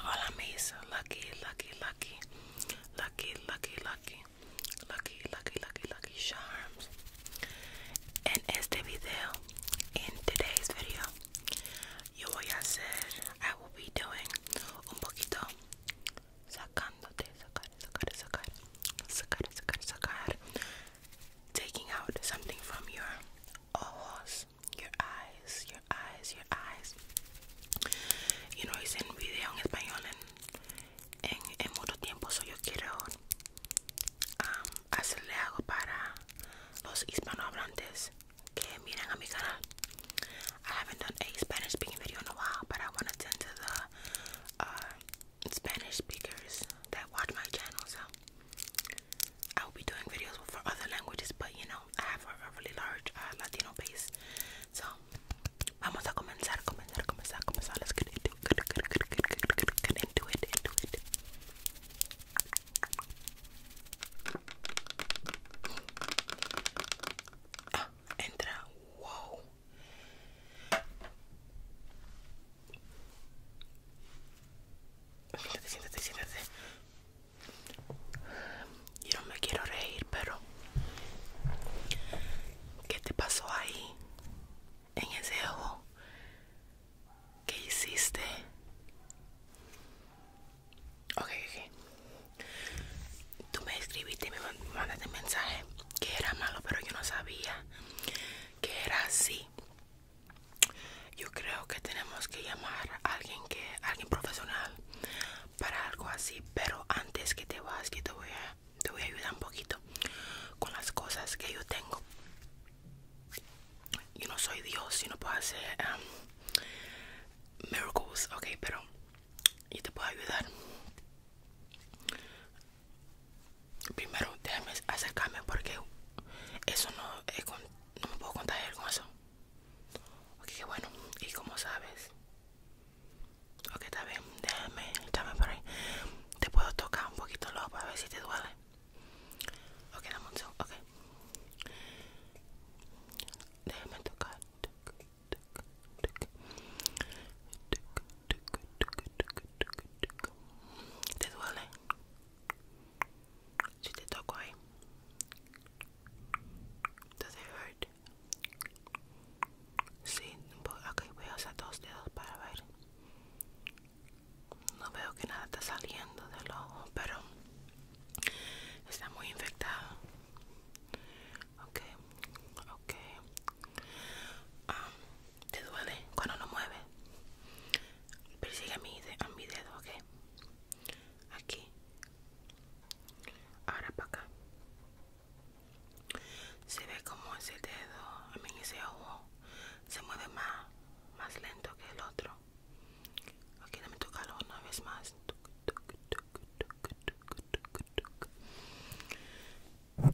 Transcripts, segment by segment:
Hola mis lucky, lucky, lucky, lucky, lucky, lucky, lucky, lucky, lucky, lucky charms. En este video, in today's video, yo voy a hacer, I will be doing un poquito sacándote, sacar, sacar, sacar, sacar, sacar, sacar taking out something from your eyes, your eyes, your eyes. You know, hice un video en español en, en, en mucho so yo quiero um, hacerle algo para los hispanohablantes que miran a mi canal. I haven't done a Spanish speaking video in a while, but I want to tend to the uh, Spanish speakers that watch my channel. So I'll be doing videos for other languages, but you know, I have a, really large uh, Latino base. So, vamos a comenzar, comenzar, comenzar, comenzar. Let's get into it, get, get, get, get, get, get, into it, into it. Ah, entra. Whoa. Siéntate, siéntate, siéntate. Yo no me quiero reír, pero ¿qué te pasó ahí? En ese ojo. ¿Qué hiciste? Ok, ok. Tú me escribiste y me mandaste mensaje que era malo, pero yo no sabía que era así yo creo que tenemos que llamar a alguien que alguien profesional para algo así pero antes que te vas que te voy a te voy a ayudar un poquito con las cosas que yo tengo yo no soy dios yo no puedo hacer um, miracles ok pero yo te puedo ayudar primero déjame acercarme porque eso eh, no, me puedo contagiar con eso. Ok, bueno, y como sabes, ok, está bien, déjame echarme por ahí. Te puedo tocar un poquito loco para ver si te duele. Ok, dame un ok. Déjame tocar. Toca, toca, ¿Te duele? Si te toco ahí. Does it hurt? Sí, ok, voy a usar dos dedos para ver. No veo que nada está saliendo del ojo, pero está muy infectado. Ok, ok. ah te duele cuando no mueve persigue a mi, a mi dedo ok aquí ahora para acá se ve como ese dedo a mí ese ojo se mueve más más lento que el otro ok me toca una vez más Okay.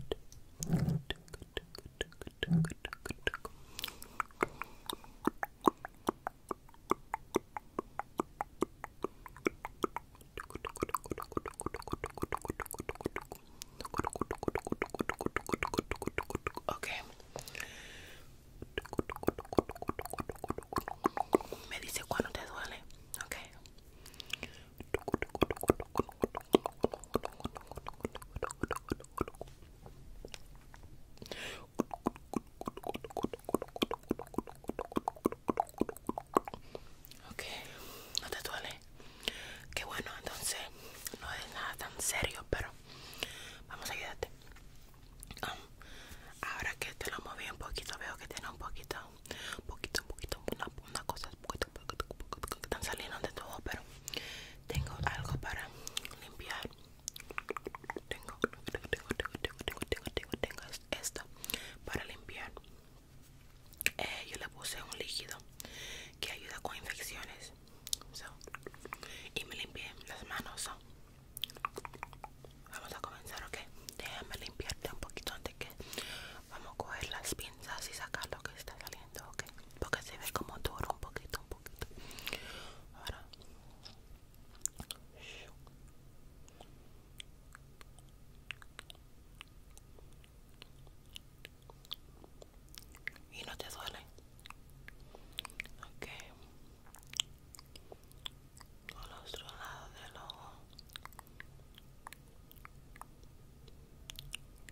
Me dice te duele. Okay. Ok, no te duele. Qué bueno, entonces no es nada tan serio, pero vamos a ayudarte. Um, ahora que te lo moví un poquito, veo que tiene un poquito, un poquito, un poquito, una, una cosa, un poquito están saliendo de todo pero tengo algo para limpiar tengo tengo tengo tengo tengo tengo tengo, esto para limpiar eh, yo le puse un líquido que ayuda con infecciones y me limpié las manos vamos a comenzar ok déjame limpiarte un poquito antes que vamos a coger las pinzas y sacar lo que está saliendo ok porque se ve como duro un poquito, un poquito. Ahora. Y no te duele. Ok. Al otro lado del ojo.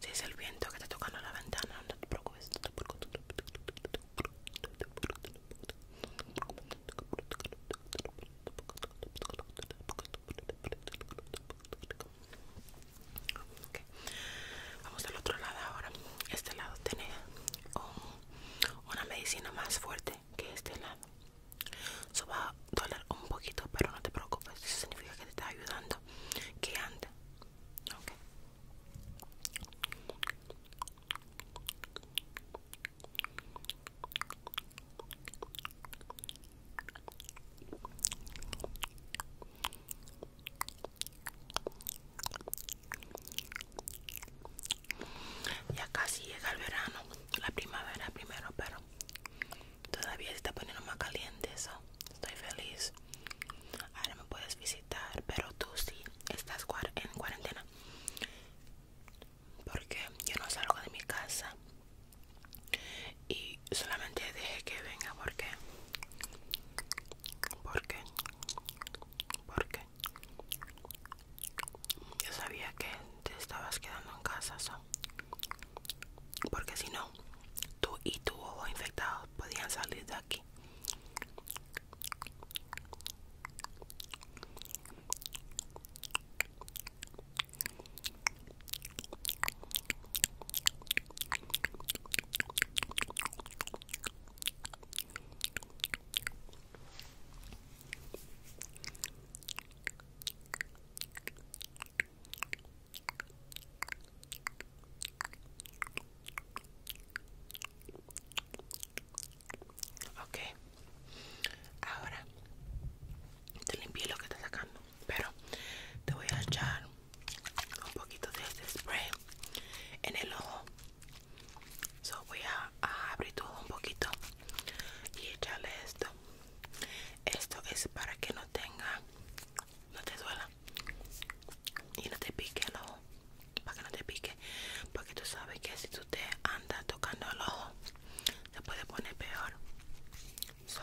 Si es el viento que te tocando la ventana, no te preocupes. Vamos al otro lado ahora. Este lado tiene una medicina más fuerte que este lado. Eso va a doler un poquito, pero no te preocupes. Eso significa que te está ayudando. Que anda ya casi llega el verano, la primavera primero, pero todavía se está poniendo más caliente eso. Estoy feliz. Ahora me puedes visitar, pero tú sí estás en cuarentena. Porque yo no salgo de mi casa. Y solamente dejé que venga porque porque porque yo sabía que te estabas quedando en casa, porque si no, tú y tu ojo infectado podían salir de aquí. Okay, ahora te limpié lo que está sacando, pero te voy a echar un poquito de este spray en el ojo So voy a, abrir todo un poquito y echarle esto. Esto es para que no tenga, no te duela y no te pique el ojo. Para que no te pique, porque tú sabes que si tú te andas tocando el ojo, se puede poner peor. So,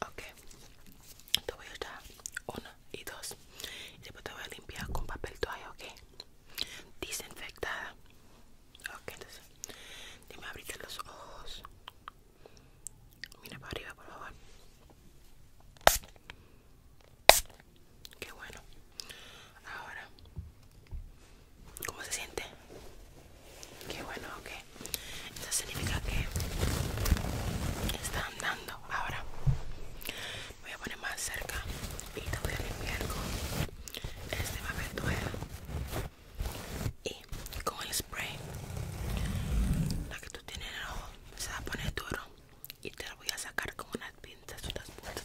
Ok, te voy a dar una y dos. Y después te voy a limpiar con papel toalla, ok. Desinfectada. Ok, entonces, dime abrirte los ojos. Mira para arriba, por favor. Qué bueno. Ahora, ¿cómo se siente? Qué bueno, ok. Eso significa que está andando. Ahora, voy a poner más cerca y te voy a limpiar con este papel toalla y con el spray. La que tú tienes en el ojo se va a poner duro y te lo voy a sacar con unas pinzas, unas puntas,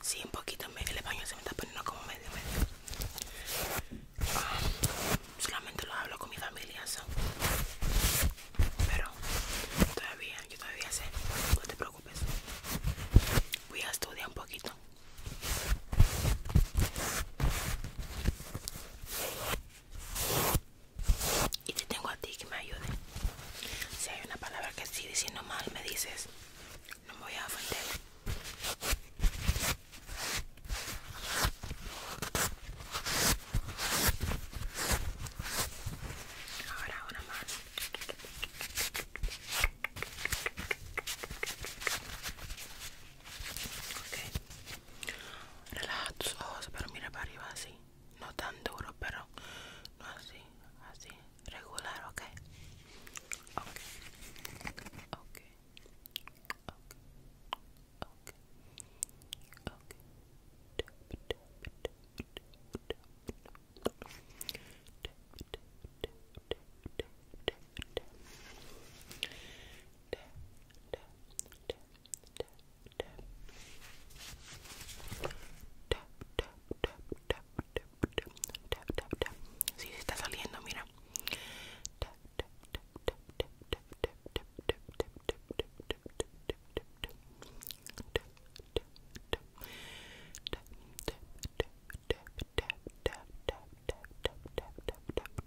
Sí, un poquito. El español se me está poniendo como medio, medio. Ah, solamente lo hablo con mi familia, pero todavía, yo todavía sé. No te preocupes. Voy a estudiar un poquito. Y te tengo a ti que me ayude. Si hay una palabra que estoy diciendo mal, me dices. No me voy a ofender. Ahora una más. Ok. Relaja tus ojos, pero mira para arriba así no tan duro pero no así así regular ok tap, tap, tap, tap, tap, tap. Sí, se está saliendo, mira. Tap, tap, tap, tap, tap, tap, tap, tap, tap, tap, tap, tap, tap, tap,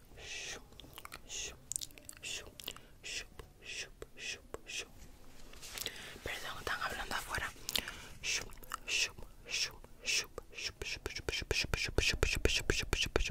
Shoop, shoop, shoop, shoop, shoop, shoop, shoop. Perdón, están hablando afuera. Shoop, shoop, shoop, shoop, shoop, shoop, shoop, shoop, shoop, shoop, shoop, shoop, shoop, shoop, shoop, shoop, shoop, shoop,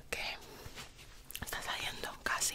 Ok. Está saliendo casi.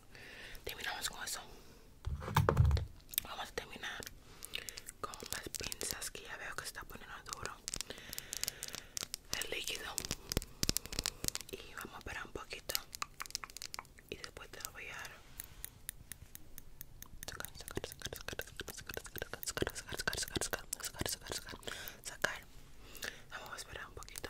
terminamos con eso vamos a terminar con las pinzas que ya veo que está poniendo duro el líquido y vamos a esperar un poquito y después te lo voy a sacar sacar sacar sacar sacar sacar sacar sacar sacar sacar sacar sacar sacar vamos a esperar un poquito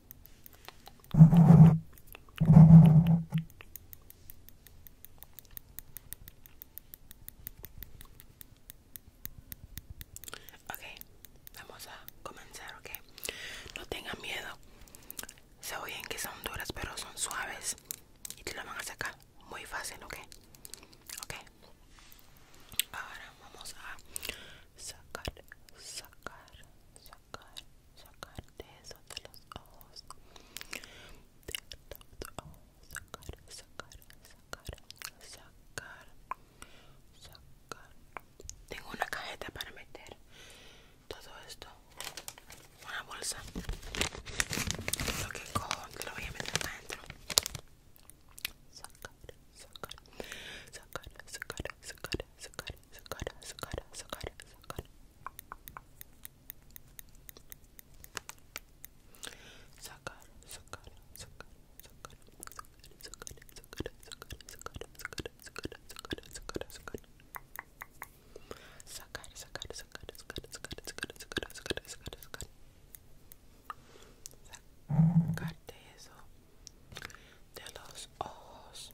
Ok, vamos a comenzar, ok. No tengan miedo. Se oyen que son duras, pero son suaves. Y te lo van a sacar muy fácil, ok. Ok. Ahora vamos a sacar, sacar, sacar, sacar de eso de los ojos, de los sacar, sacar, sacar, sacar, sacar. Tengo una cajeta para meter todo esto, una bolsa. Lo que cojo lo voy a meter adentro. Sacar, sacar, sacar, sacar, sacar, sacar, sacar, sacar, sacar, sacar. Sacar, sacar, sacar, sacar, sacar, sacar, sacar, sacar, sacar, sacar, sacar, sacar, sacar. Sacar, sacar, sacar, sacar, sacar, sacar, sacar, sacar, sacar, sacar. Sacarte eso de los ojos.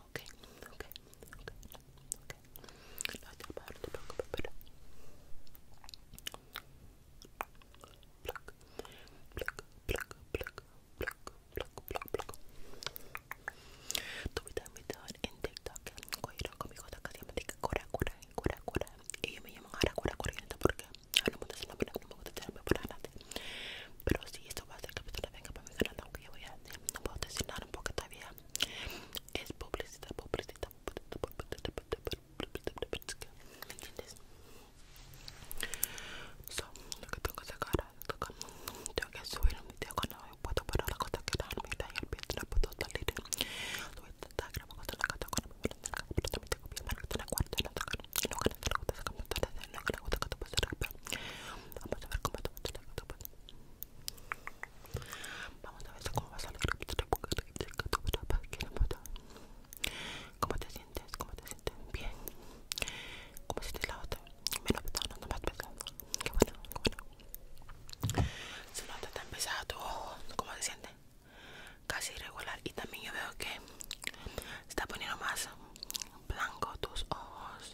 ok, ok, ok, ok. en TikTok, conmigo me cura, cura, cura, cura. Y me llamo ahora cura porque no me gusta Pero va a venga para voy a no puedo un porque todavía es publicidad publicidad ¿me entiendes? lo que tengo que tengo que subir tengo que puedo la cosa que la el pie puta puedo salir con la puta la la Vamos a ver cómo Vamos a ver cómo te a ¿Cómo te sientes? ¿Cómo te sientes? Bien. ¿Cómo sientes la otra? Menos pesado, no más pesado. Qué bueno, qué bueno. Se nota tan pesado tu ¿Cómo se siente? Casi irregular. Y también yo veo que se está poniendo más blanco tus ojos.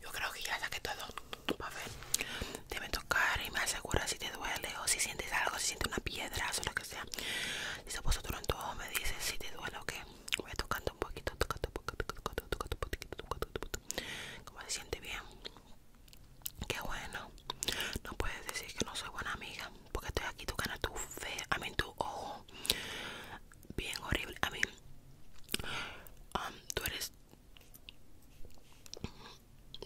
Yo creo que ya que todo. A ver, debe tocar y me asegura si te duele o si sientes algo, si sientes una piedra o lo que sea. Dice, pues me dice si te duele o qué. Voy tocando un poquito. Como se siente bien. Qué bueno. No puedes decir que no soy buena amiga. Porque estoy aquí, tu gana tu fe. A mí, tu ojo. Bien horrible. A mí, um, tú eres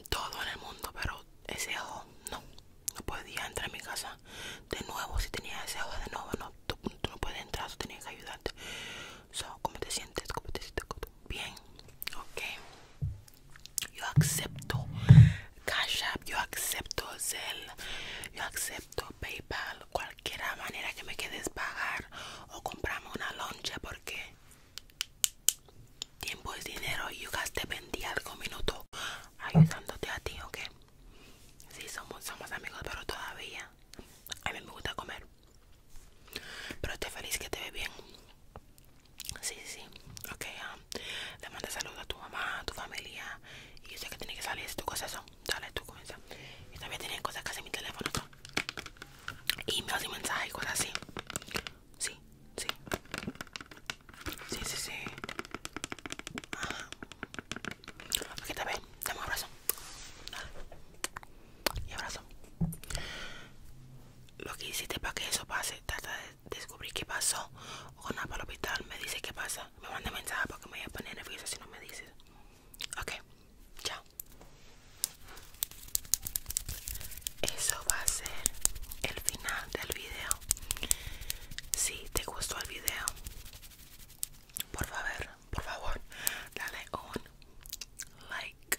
todo en el mundo, pero ese ojo no. No podía entrar en mi casa de nuevo. Si tenía ese ojo de nuevo, no. Tú, no puedes entrar, tú tenías que ayudarte. So, ¿Cómo te sientes? ¿Cómo te sientes? Bien. Ok yo acepto Cash App, yo acepto Zelle, yo acepto PayPal, cualquier manera que me quedes pagar o comprarme una loncha porque tiempo es dinero y yo gasté vendí algo minuto ayudándote a ti, ¿ok? Sí, somos, somos amigos, pero todavía a mí me gusta comer. Pero estoy feliz que te ve bien. Sí, sí, sí. Ok, ah, le manda saludos a tu mamá, a tu familia. Y yo sé que tiene que salir tu cosa, eso. Dale, tú comienza. Y también tiene cosas que en mi teléfono, y me y mensajes y cosas así. Sí, sí. Sí, sí, sí. Ajá. Ok, también. Dame un abrazo. Y abrazo. Lo que hiciste para que eso pase, trata descubrí qué pasó con para el hospital me dice qué pasa me manda mensaje porque me voy a poner nerviosa si no me dices ok chao eso va a ser el final del video si te gustó el video por favor por favor dale un like